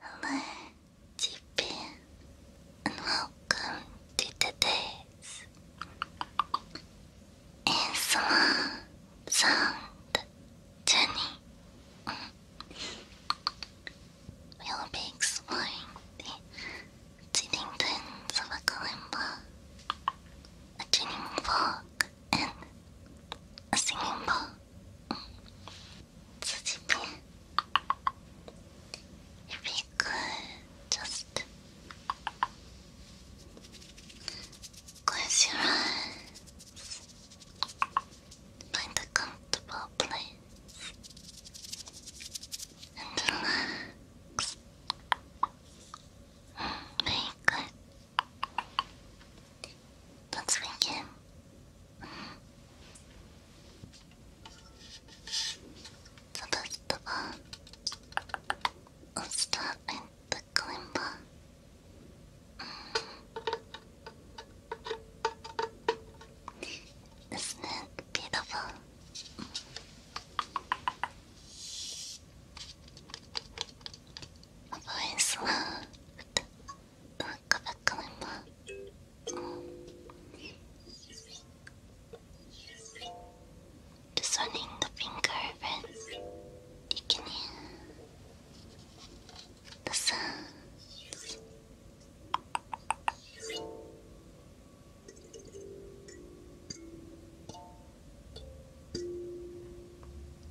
Hello, Jippin, and welcome to today's ASMR sound journey. We'll be exploring the cheating twins of a kalimba, a tuning fork, and a singing bowl. Just Close your eyes. Find a comfortable place and relax. Mm, very good. That's Lincoln. The festival of Stop and the Kalimba. Mm. Isn't beautiful? Mm. A voice loved bakalım mı? Discerning the finger of deaconing the sun.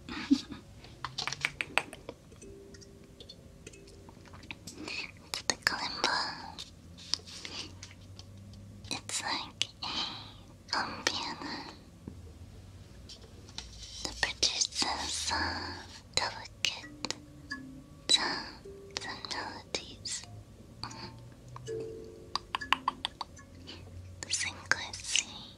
To the kalimba. It's like a um, piano. The producer's uh, delicate sounds and melodies. The synchronicity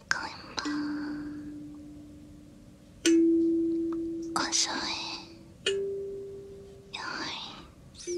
こんばんはおしょえよいす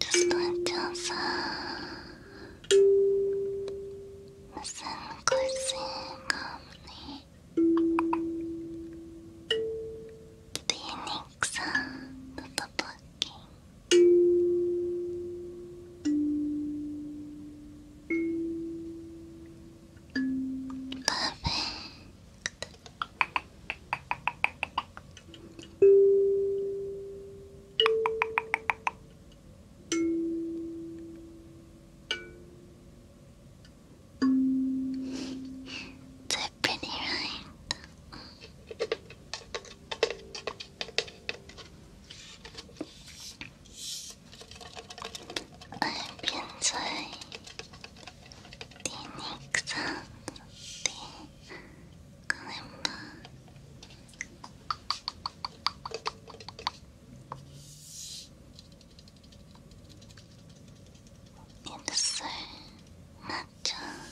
just let 무슨 글씨가 없니? 비닉사 부부부킹 Perfect they're pretty, right? I hope you enjoy the next sound, kalimba It's so natural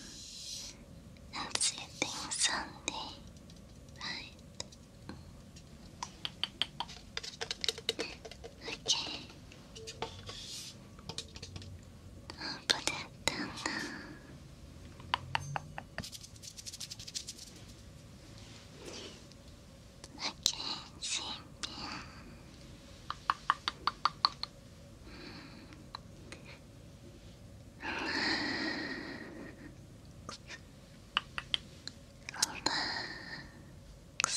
and sitting Sunday, right? Okay, 本当だったんだオッケー新品うんリラックス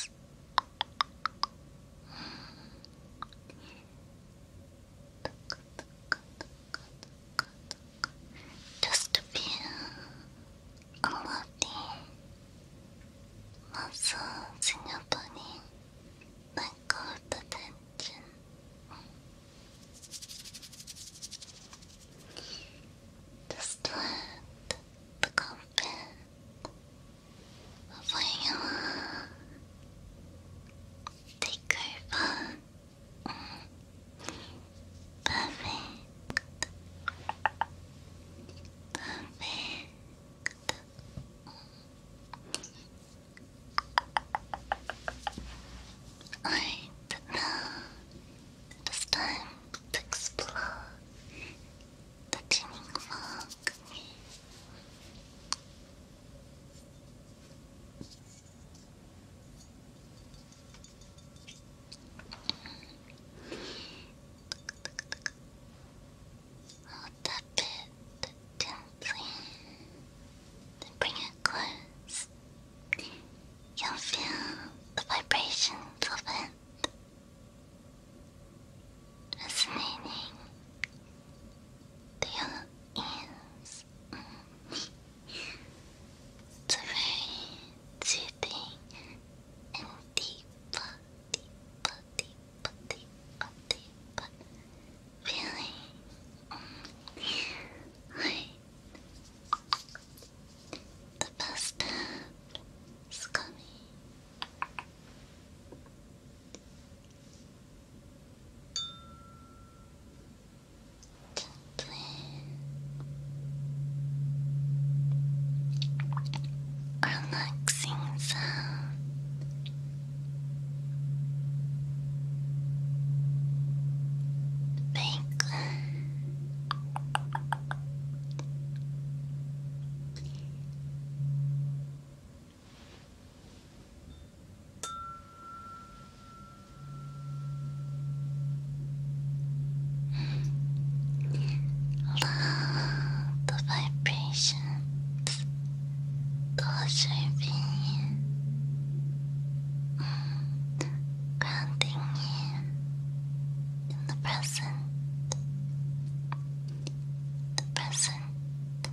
just a few all of the massaging your body, let go of tension. Just let the comfort 覚えよう take over mm. perfect perfect Alright, now it is time to explore the teeming I'll tap gently, then bring it close. You'll feel the vibrations of it Fascinating. The other is mm, it's a and deep, deep, deep, deep, feeling. Mm. The best is coming relaxing sound. Bacon. Love the vibration. preserving you, grounding you in the present. The present movement.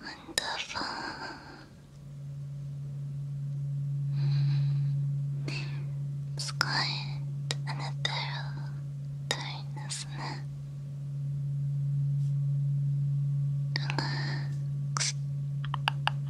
Wonderful. It's quite an ethereal tone, isn't it?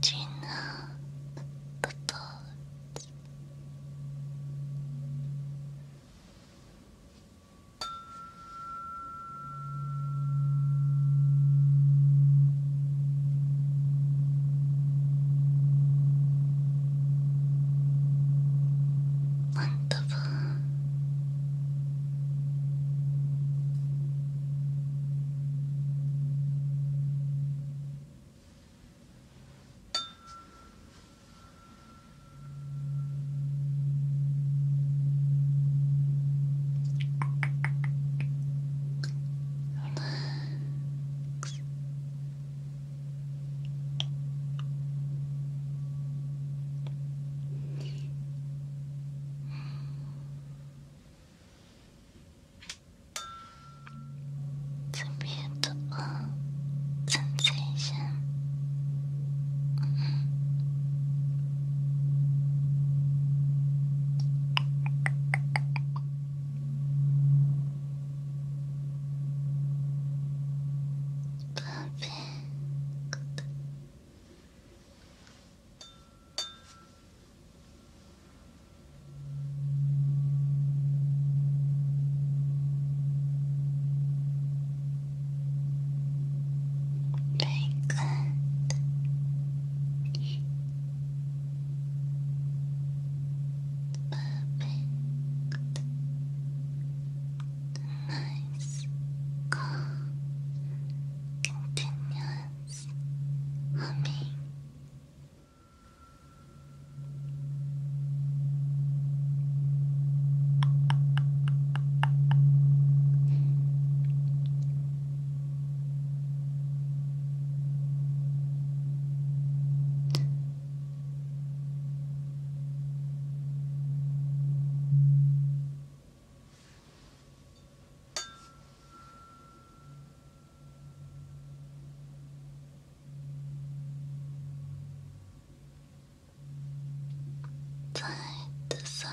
Gina, the boat. Wonderful. Relax. It's a beautiful sensation. Mm-hmm. Perfect. Very Perfect. Nice, calm, humming. Side to side.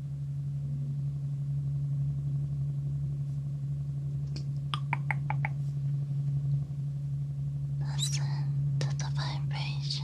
Listen to the vibrations.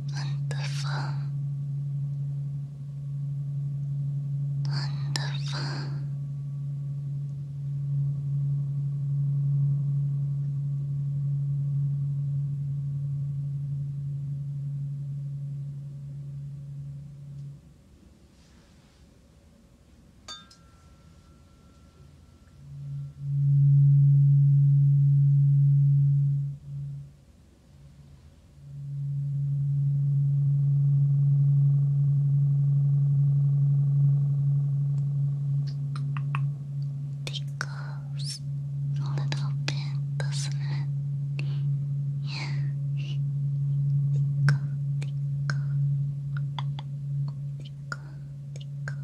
Wonderful. Wonderful. Tickles a little bit, doesn't it? Tickle, tickle. Tickle, tickle.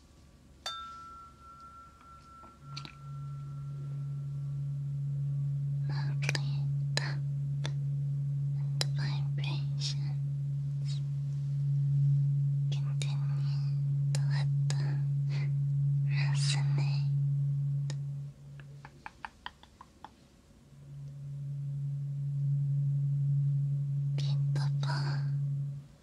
Lovely tap the vibrations continue to let them resonate. Beautiful.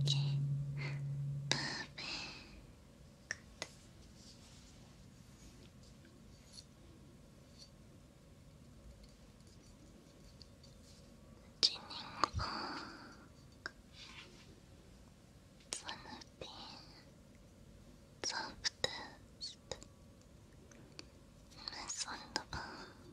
Okay. Perfect. Ginning Park. It's softest. Mess on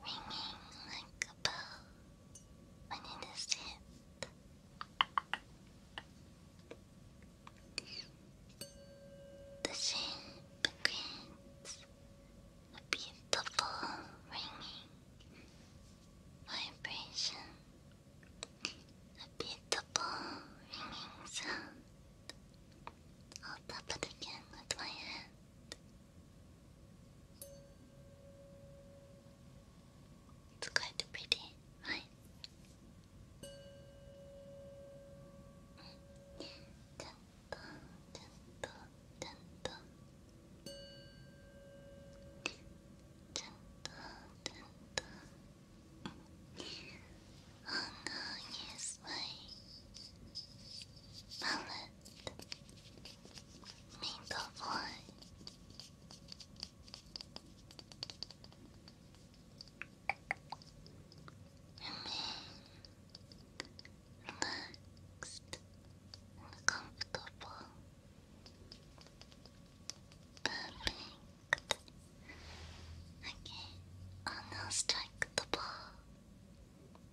ringing like a bell when it is The shape creates a beautiful ringing vibration, a beautiful ringing sound. I'll tap it again with my hand. It's quite pretty, right? ちゃんとちゃんとちゃんとちゃんとちゃんと Oh yes, my Mullet. Mingle boy. Remain comfortable. Perfect. Okay, I'll now strike the ball.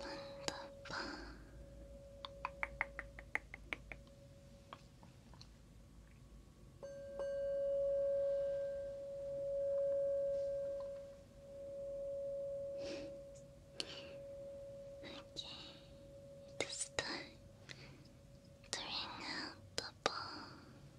Wunderbar. Okay, this time to ring out the ball.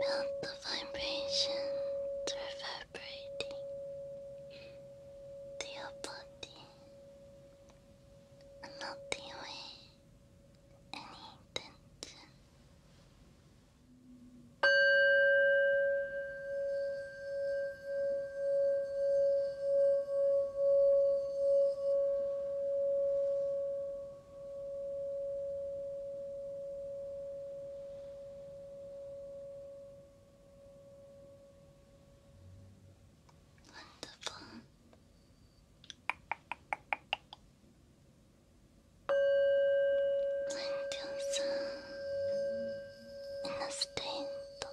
Melt the vibration reverberating. The to your body and melt any tension. Wonderful. And you're in a state of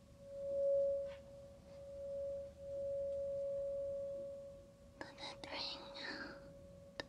Let it ring out. Perfect.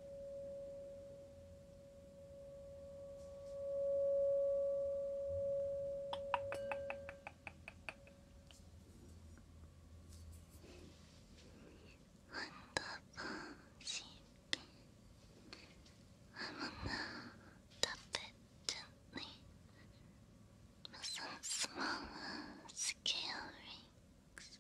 Unpublished. I will now tap it gently with some smaller scale rings.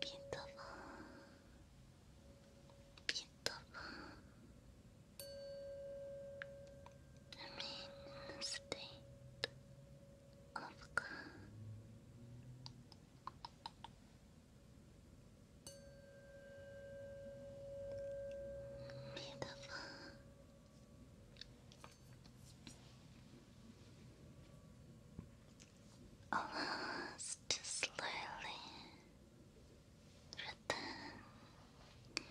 Beautiful. Beautiful. I mean, of God. Beautiful. Almost slowly return to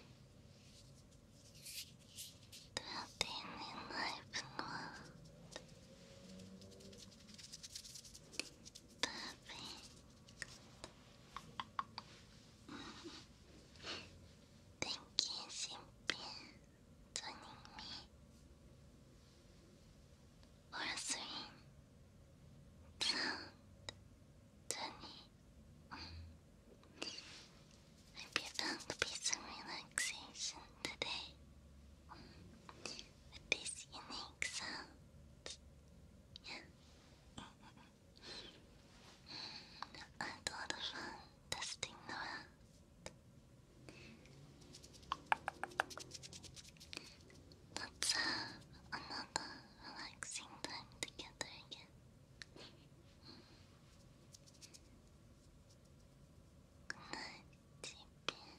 a daily life world. Perfect. Thank you, Simpy, joining me. Or three. Sound. Journey. Mm. Hope you found relaxation today. With these unique sounds. I had a lot of fun testing the rat. let another relaxing time together again. Good night, Chippy.